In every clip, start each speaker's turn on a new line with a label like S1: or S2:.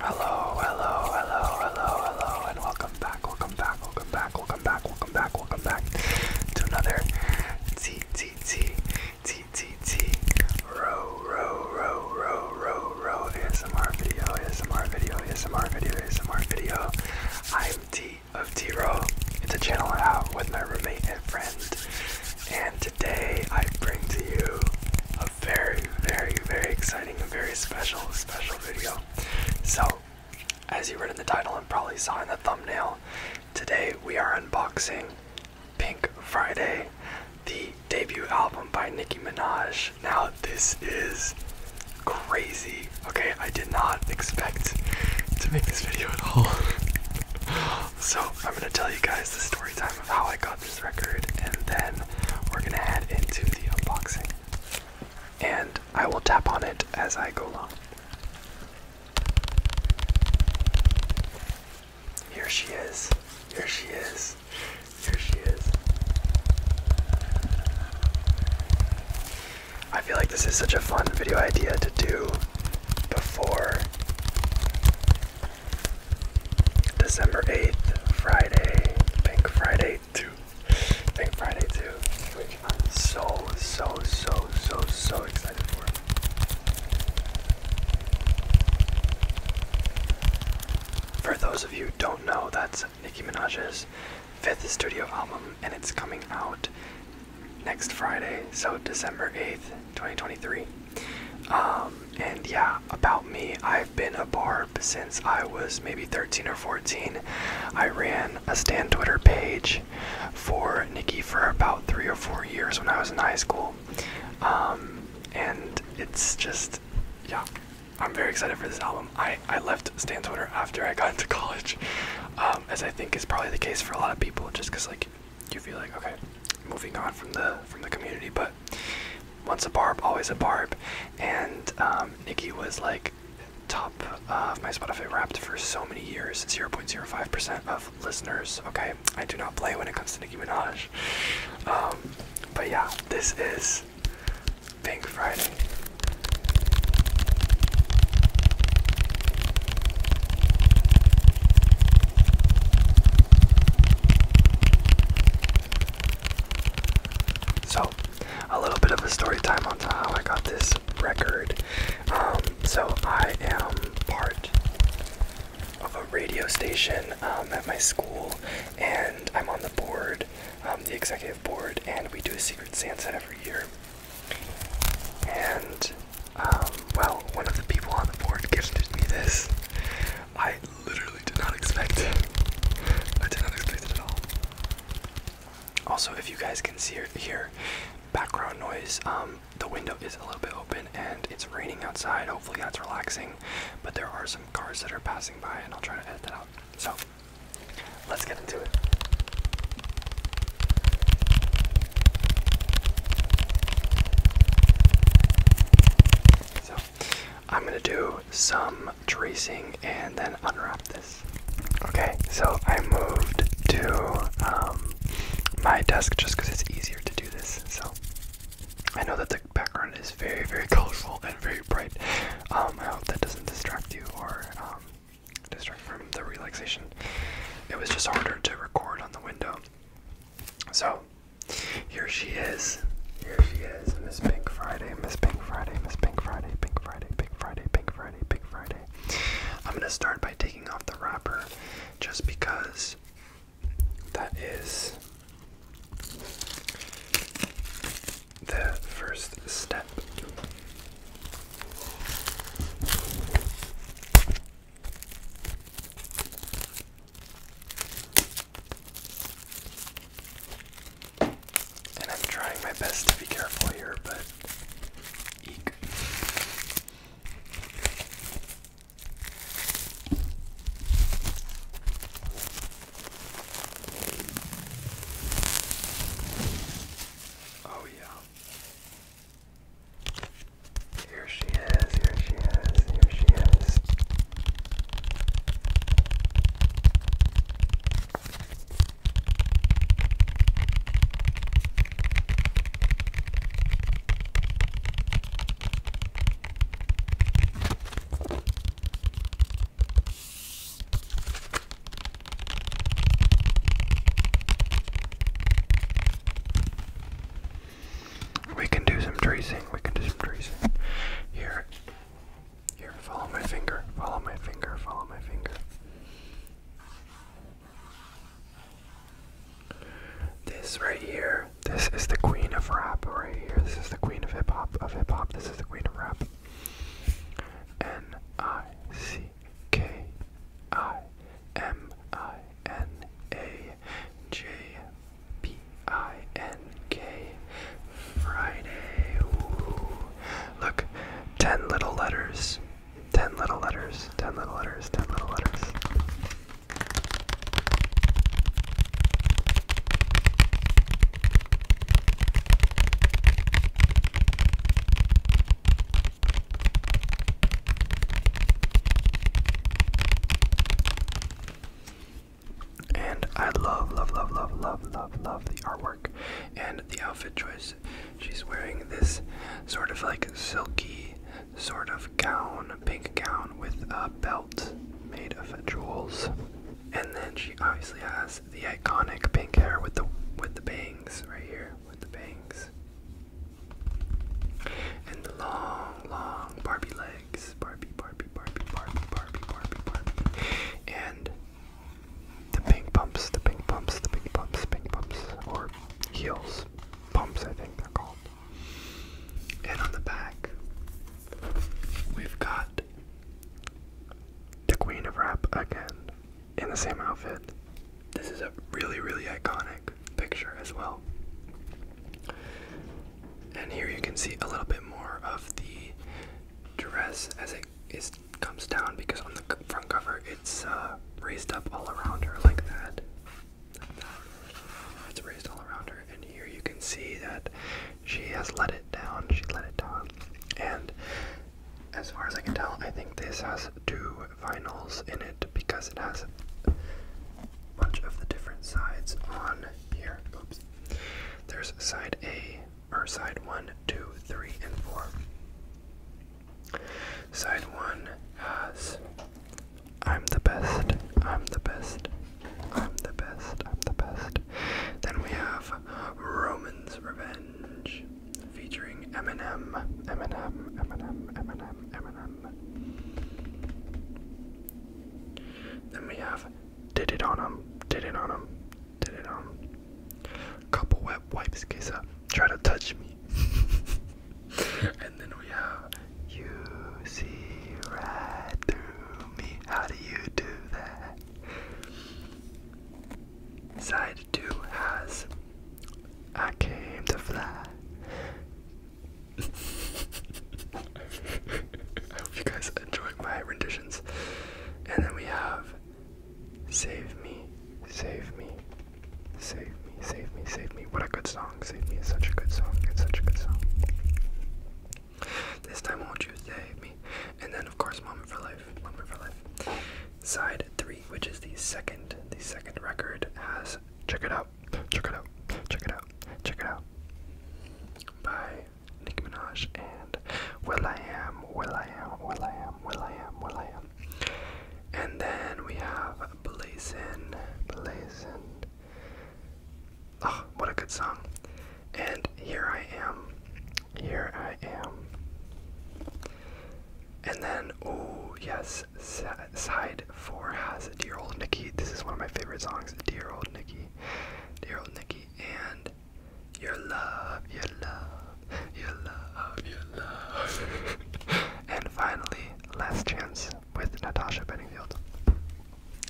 S1: Hello, hello, hello, hello, hello, and welcome back, welcome back, welcome back, welcome back, welcome back, welcome back to another T T T T T T row row row row row row ASMR video, ASMR video, ASMR video, ASMR video. I'm T of T Row. It's a channel I have with my roommate and friend. And Today I bring to you a very, very, very exciting and very special, special video. So, as you read in the title and probably saw in the thumbnail, today we are unboxing Pink Friday, the debut album by Nicki Minaj. Now, this is crazy. Okay, I did not expect to make this video at all. so, I'm gonna tell you guys the story time of how I got this record, and then we're gonna head into the unboxing. And I will tap on it as I go along. Here she is. Here she is. Here she is. I feel like this is such a fun video idea to do before December 8th, Friday, Pink Friday 2. Pink Friday 2, which I'm so, so, so, so, so excited for. For those of you don't know, that's Nicki Minaj's fifth studio album, and it's coming out next Friday, so December 8th. 2023. Um, and yeah, about me, I've been a barb since I was maybe 13 or 14. I ran a Stan Twitter page for Nikki for about three or four years when I was in high school. Um, and it's just, yeah, I'm very excited for this album. I, I left Stan Twitter after I got into college, um, as I think is probably the case for a lot of people, just because, like, you feel like, okay, moving on from the from the community, but once a barb, always a barb. And um, Nikki was like top of my Spotify Wrapped for so many years. 0.05% of listeners. Okay, I do not play when it comes to Nicki Minaj. Um, but yeah, this is Pink Friday. So, a little bit of a story time on how I got this record. Um, so, I am part of a radio station um, at my school, and I'm on the board, um, the executive board, and we do a Secret Santa every year. And, well, one of the people on the board gifted me this. I literally did not expect it. I did not expect it at all. Also, if you guys can see or hear background noise, um, the window is a little bit open and it's raining outside. Hopefully, that's relaxing. But there are some cars that are passing by, and I'll try to edit that out. So, let's get into it. So I'm gonna do some tracing and then unwrap this. Okay, so I moved to um, my desk just because it's easier to do this. So I know that the background is very, very colorful and very bright. Um, I hope that doesn't distract you or um, distract from the relaxation. It was just harder to record on the window. So here she is. Here she is. Miss Pink Friday. Miss Pink Friday. Miss Pink Friday. Pink Friday. Pink Friday. Pink Friday. Pink Friday. I'm going to start by taking off the wrapper just because that is the first step. And I'm trying my best to be careful here, but Oh, yeah. Here she is, here she is, here she is. We can do some tracing. We can do some tracing. Here. Here, follow my finger. Follow my finger. Follow my finger. This right here, this is the queen of rap right here. This is the queen of hip hop of hip hop. This is the queen of rap. N I C K I M I N A J P I N K Friday. Look, 10 little letters. 10 little letters. 10 little letters. 10 little letters. And I love, love, love, love, love, love, love the artwork and the outfit choice. She's wearing this sort of like silky sort of gown, pink gown with a belt made of jewels. And then she obviously has the iconic pink hair with the with the bangs right here, with the bangs. And the long, long Barbie legs. Barbie, Barbie, Barbie, Barbie, Barbie, Barbie, Barbie. And the pink pumps, the pink pumps, the pink pumps, pink pumps, or heels. Pumps, I think they're called. And on the back, we've got the Queen of Rap again in the same outfit. This is a really, really iconic picture as well. And here you can see a little bit more of the dress as it is comes down because on the front cover it's uh, raised up all around her Like that. It's raised all around her, and here you can see that she has let it down. She let it down, and as far as I can tell, I think this has two vinyls in it because it has a bunch of the different sides on here. Oops. There's side A, or side one, two, three, and 4. Side 1 has I'm the best, I'm the best, I'm the best, I'm the best. Then we have Roman's Revenge featuring Eminem, Eminem, Eminem, Eminem, Eminem, then we have Did It On Him, Did It On Him, Did It On Him. Couple wet wipes, Kisa, try to touch me. and then we have You See Right Through Me, How Do You Do That? Side 2 has I came to fly. I hope you guys enjoy my renditions. And then we have Save Me, Save Me, Save Me, Save Me, Save Me. What a good song. Save Me is such a good song. It's such a good song. This time won't you save me? And then of course Moment for Life. Moment for Life. Side three, which is the second the second record, has Check it out. Check it out. Check it out. Check it out. By Nicki Minaj and Will I Am, Will I Am, Will I Am, Will I Am, Will I Am. And then we have Blazin, Blazin. Oh, what a good song. And Here I Am, Here I Am. And then, oh, yes, side four has Dear Old Nikki. This is one of my favorite songs, Dear Old Nikki. Dear Old Nikki and Your Love, Your Love, Your Love, Your Love. and finally, Last Chance with Natasha Benningfield.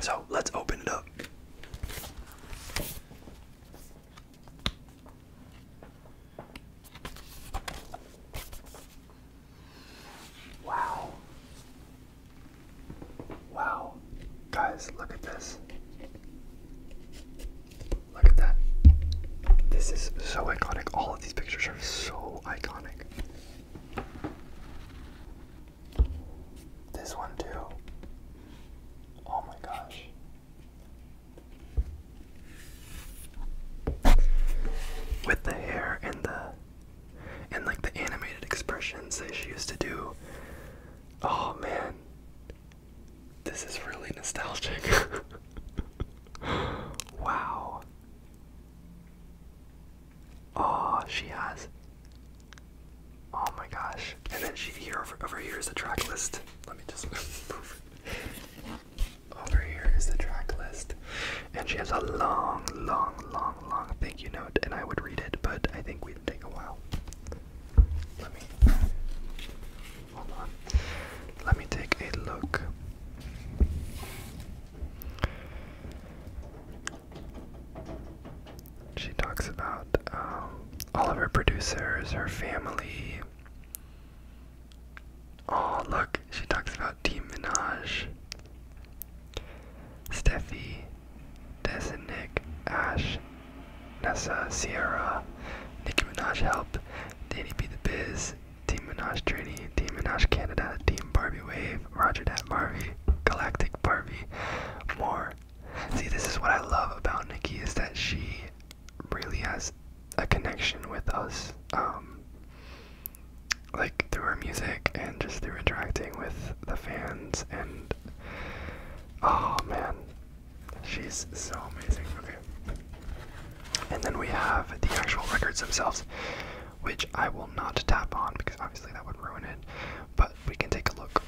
S1: So let's open it up. Wow. Wow. Guys, look at this. Look at that. This is so iconic. All of these pictures are so iconic. This one, too. Oh my gosh. With the hair and the and like the animated expressions that she used to do. Oh man. This is really nostalgic. wow. Oh, she has. Oh my gosh. And then she here over, over here is a track list. Let me just move. Over here is the track list, and she has a long, long, long, long thank you note, and I would read it, but I think we'd take a while. Let me hold on. Let me take a look. She talks about um, all of her producers, her family. Oh, look, she talks about Team Minaj. Steffi, Des and Nick, Ash, Nessa, Sierra, Nicki Minaj Help, Danny be the Biz, Team Minaj Trini, Team Minaj Canada, Team Barbie Wave, Roger Dat Barbie, Galactic Barbie, more. See, this is what I love about Nikki is that she really has a connection with us, um, like through our music and just through interacting with the fans. And oh man, she's so amazing. Okay. And then we have the actual records themselves, which I will not tap on because obviously that would ruin it, but we can take a look.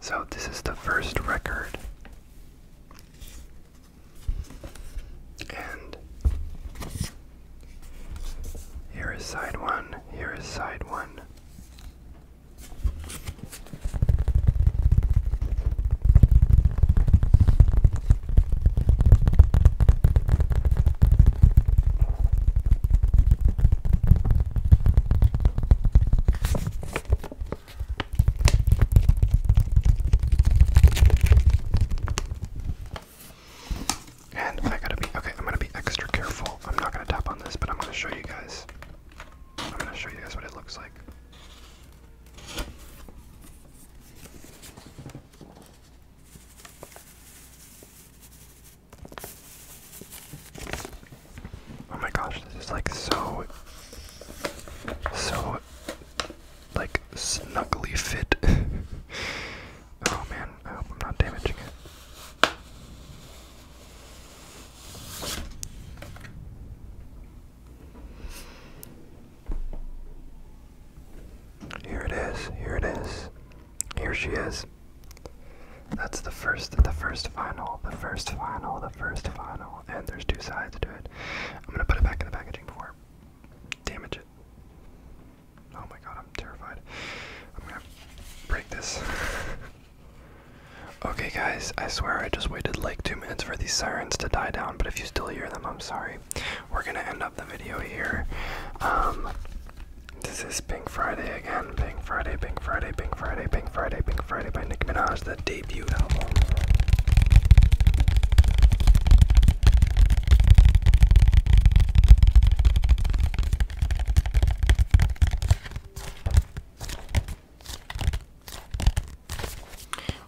S1: So, this is the first record. And here is side one, here is side one. And I gotta be okay, I'm gonna be extra careful. I'm not gonna tap on this, but I'm gonna show you guys. I'm gonna show you guys what it looks like. Oh my gosh, this is like so, so, like snugly fit. oh man, I hope I'm not damaging it. Here it is, here it is. Here she is. That's the first, the first final, the first final, the first final, and there's two sides to it. I'm gonna put it back in the packaging before damage it. Oh my god, I'm terrified. I'm gonna break this. okay, guys, I swear I just waited like two minutes for these sirens to die down, but if you still hear them, I'm sorry. We're gonna end up the video here. Um, this is Pink Friday again. Pink Friday, Pink Friday, Pink Friday, Pink Friday, Pink Friday by Nicki Minaj, the debut album.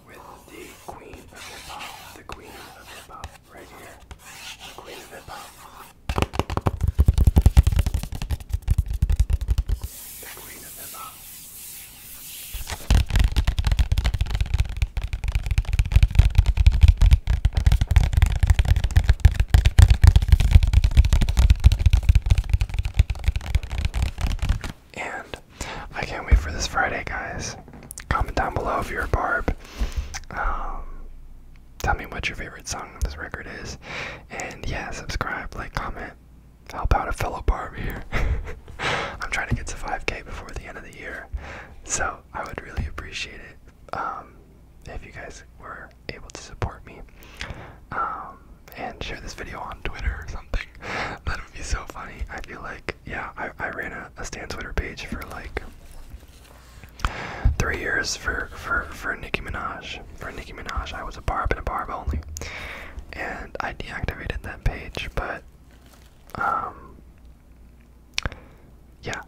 S1: With the Queen of Hip Hop, the Queen of Hip Hop, right here. Queen of Hip Hop i And I can't wait for this Friday, guys. Comment down below if you're a barb. Um, tell me what your favorite song on this record is. And yeah, subscribe, like, comment, help out a fellow Barb here. I'm trying to get to 5K before the end of the year, so I would really appreciate it um, if you guys were able to support me um, and share this video on Twitter or something. That would be so funny. I feel like, yeah, I, I ran a, a Stan Twitter page for like Three years for for for Nicki Minaj. For Nicki Minaj, I was a barb and a barb only, and I deactivated that page. But, um, yeah.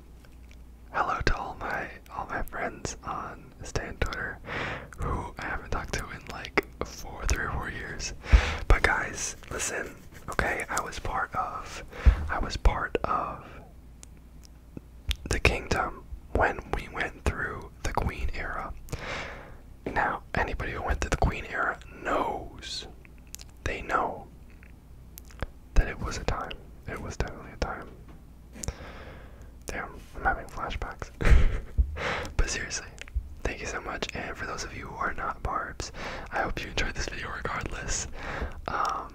S1: Hello to all my all my friends on Stan Twitter, who I haven't talked to in like four, three or four years. But guys, listen. Okay, I was part of. I was part of the kingdom when we went through the Queen era. Now, anybody who went through the Queen era knows, they know that it was a time. It was definitely a time. Damn, I'm having flashbacks. but seriously, thank you so much. And for those of you who are not barbs, I hope you enjoyed this video regardless. Um,